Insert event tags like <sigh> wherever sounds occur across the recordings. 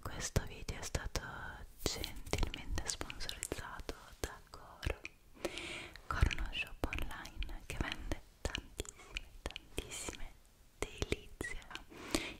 Questo video è stato gentilmente sponsorizzato da Coro, Coro uno shop online che vende tantissime, tantissime delizie.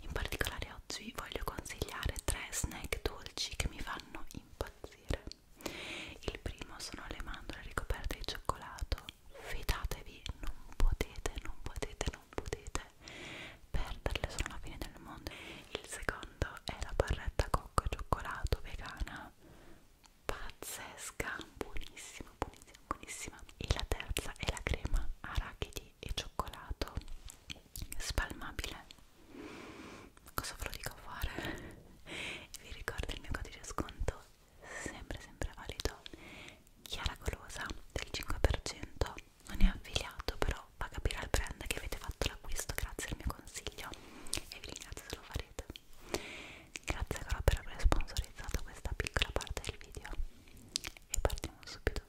In particolare oggi vi voglio consigliare tre snack dolci che mi fanno impazzire. Il primo sono le mandorle ricoperte di cioccolato fidatevi, non potete, non potete, non potete perderle, sono la fine del mondo. Il secondo è la barretta cocco e cioccolato vegana, pazzesca, buonissima, buonissima, buonissima. E la terza è la crema arachidi e cioccolato spalmabile. Cosa ve lo dico a fare? <laughs> Vi ricordo il mio codice sconto sempre sempre valido Chiara Golosa del 5% non è affiliato però fa capire al brand che avete fatto l'acquisto grazie al mio consiglio e vi ringrazio se lo farete grazie ancora per aver sponsorizzato questa piccola parte del video e partiamo subito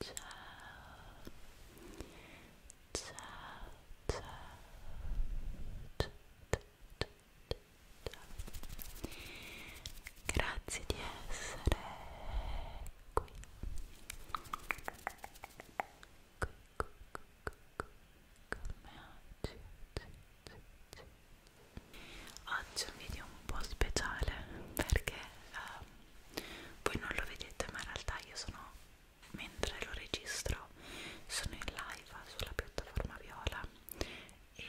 Ciao ciao ciao ciao, ciao, ciao, ciao. grazie di essere qui con me oggi oggi è un video un po' speciale perché um, voi non lo vedete ma in realtà io sono mentre lo registro sono in live sulla piattaforma viola e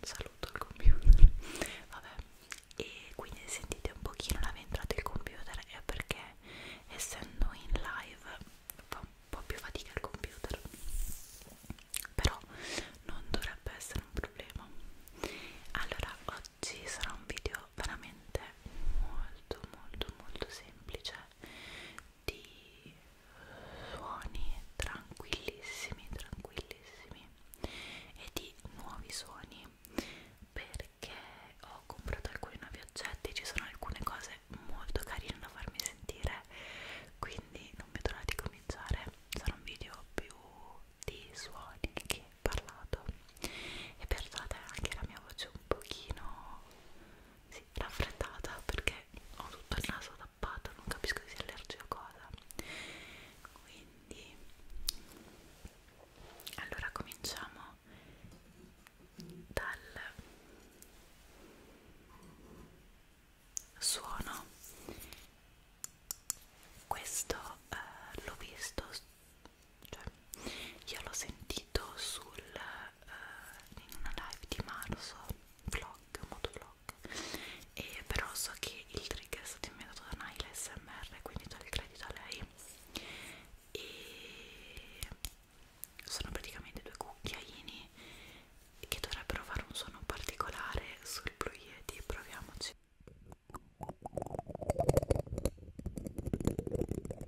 saluto il computer <laughs> vabbè e quindi sentite un pochino la ventrata del computer è perché essendo in live fa un po' più fatica il computer però non dovrebbe essere un problema allora oggi sarà un video veramente molto molto molto semplice di suoni tranquillissimi, tranquillissimi e di nuovi suoni perché ho comprato alcuni nuovi oggetti, ci sono alcune cose molto carine da farmi sentire quindi non vedo l'ora di cominciare sarà un video più di suoni che parlato e perdonate anche la mia voce un pochino sì, raffreddata perché ho tutto il naso tappato, non capisco se sia allergico o cosa. Quindi, allora cominciamo dal suono. Questo eh, l'ho visto cioè, io l'ho sentito sul, uh, in una live di marzo, vlog, motovlog, e però so che il trigger è stato inventato da Naila SMR, quindi do il credito a lei, e sono praticamente due cucchiaini che dovrebbero fare un suono particolare sul Blue Yeti, proviamoci.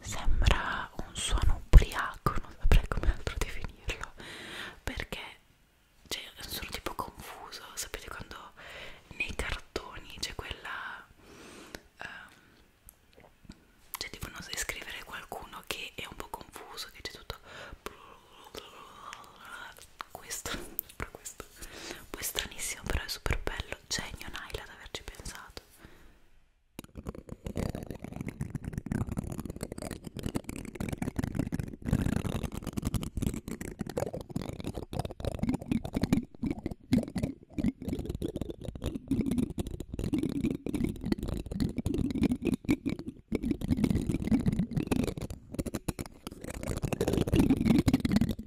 sembra un suono ubriaco, non saprei come altro definirlo, perché cioè, sono tipo confuso, sapete quando nei cartoni c'è quella... Um, cioè tipo non sai scrivere qualcuno che è un po' confuso, che c'è tutto... questo, <laughs> questo poi stranissimo però è super bello genio Naila ad averci pensato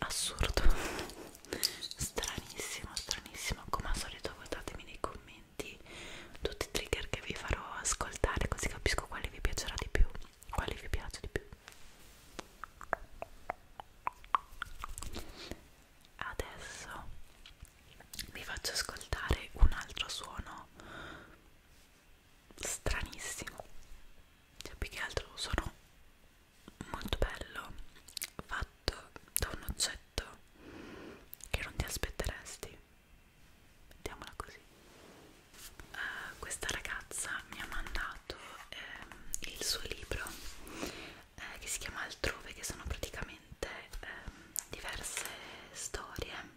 assurdo stranissimo stranissimo come al solito votatemi nei commenti tutti i trigger che vi farò ascoltare così capisco quale vi piacerà di più quale vi piace di più adesso vi faccio ascoltare un altro suono stranissimo cioè più che altro sono molto bello fatto da un oggetto che non ti aspetteresti mettiamola così uh, questa ragazza mi ha mandato eh, il suo libro eh, che si chiama Altrove che sono praticamente eh, diverse storie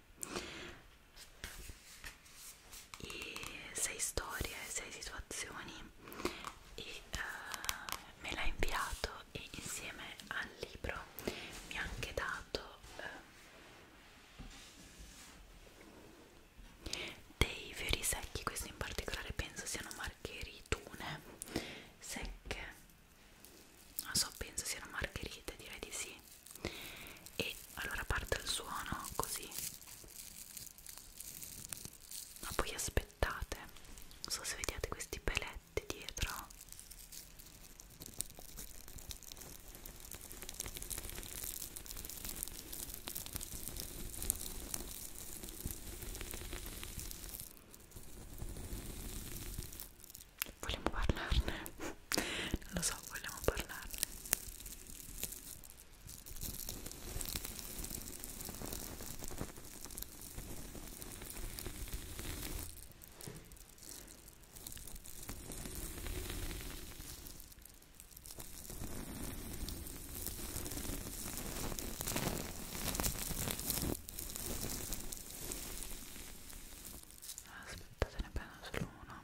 e sei storie, sei situazioni e uh, me l'ha inviato e insieme al libro mi ha anche dato uh, dei fiori secchi, questi in particolare penso siano margheritune secche non so, penso siano margherite, direi di sì e allora parte il suono così ma poi aspettate non so se vediate questi peletti dietro Vogliamo parlarne? <laughs> non lo so, vogliamo parlarne aspettate ne prendo solo uno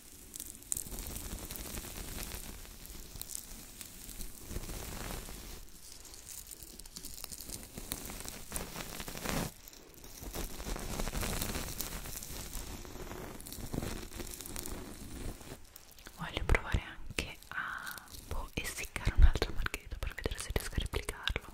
Voglio provare anche a boh, essiccare un altro margherito per vedere se riesco a replicarlo.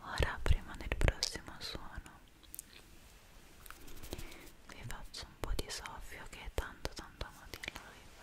Ora, prima del prossimo suono, vi faccio un po' di soffio che è tanto tanto amato in live.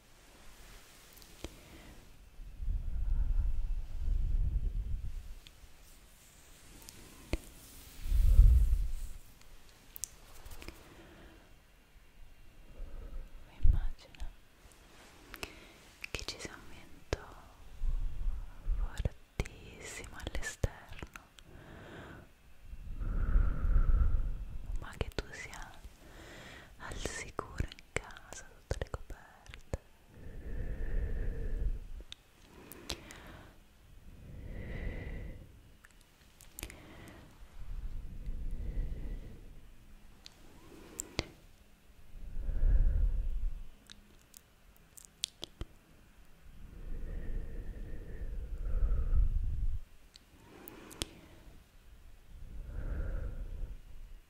Immagina che ci sia un vento fortissimo all'esterno, ma che tu sia al sicuro in casa sotto le coperte Rilassati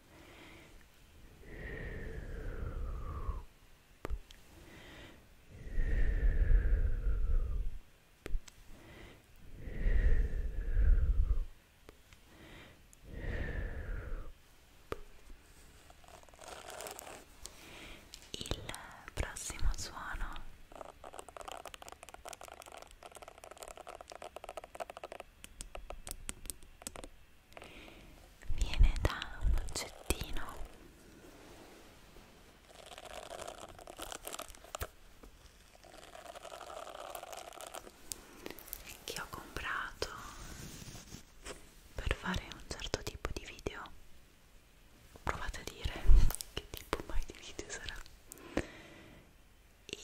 Il prossimo suono viene da un oggettino che ho comprato per fare un certo tipo di video provate a dire <laughs> che tipo mai di video sarà e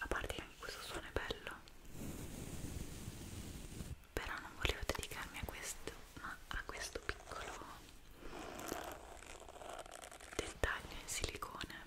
a parte che anche questo suono è bello però non volevo dedicarmi a questo ma a questo piccolo dettaglio in silicone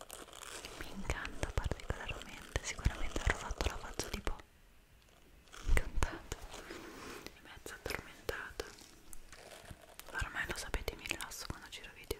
mi incanta particolarmente sicuramente avrò fatto la faccia tipo incantato e mezzo addormentato ormai lo sapete mi rilasso quando giro video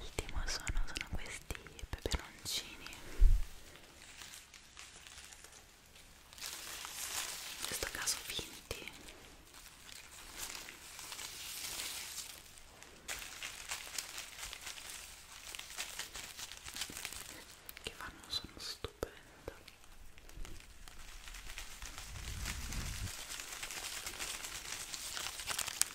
Ultimo sono, sono questi peperoncini. In questo caso finti. Che fanno sono stupendo.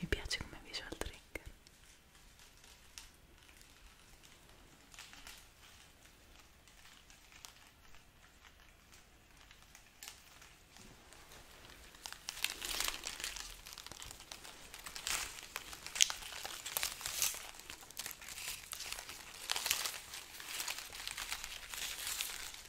mi piace come visual trigger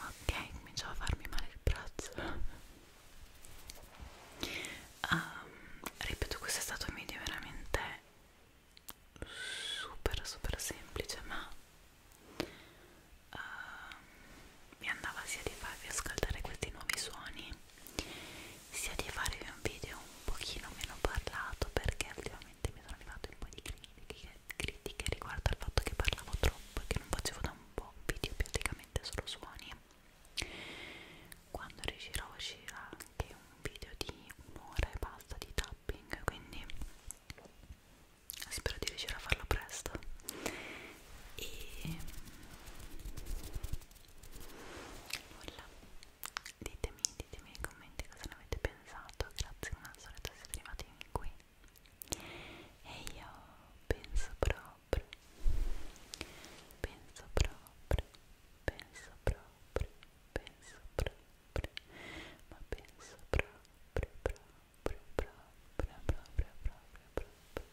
Ok, cominciava a farmi male il braccio. um, ripeto, questo è stato un video veramente super super semplice, ma uh, mi andava sia di farvi ascoltare questi nuovi suoni sia di farvi un video un pochino meno parlato perché ultimamente mi sono arrivate un po' di critiche, critiche riguardo al fatto che parlavo troppo e che non facevo da un po' video praticamente solo suoni quando riuscirò uscirà anche un video di un'ora e basta di tapping quindi spero di riuscire a farlo presto e nulla ditemi, ditemi nei commenti cosa ne avete pensato grazie come al solito siete arrivati fin qui e io penso proprio penso proprio penso proprio penso proprio ma penso proprio proprio proprio proprio proprio proprio proprio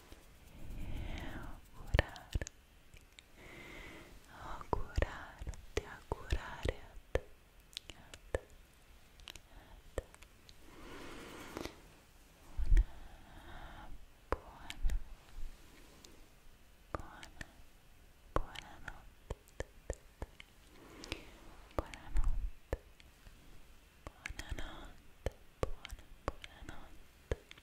augurarti, augurarti, augurare a te, a te, a te. Una buona, buona, buona notte. Buonanotte, buonanotte, buona, buonanotte.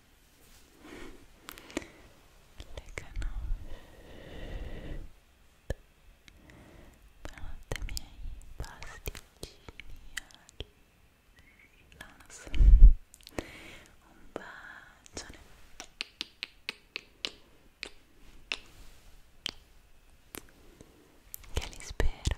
le canoscette buonanotte miei pasticcini all'ananas un bacione che li spera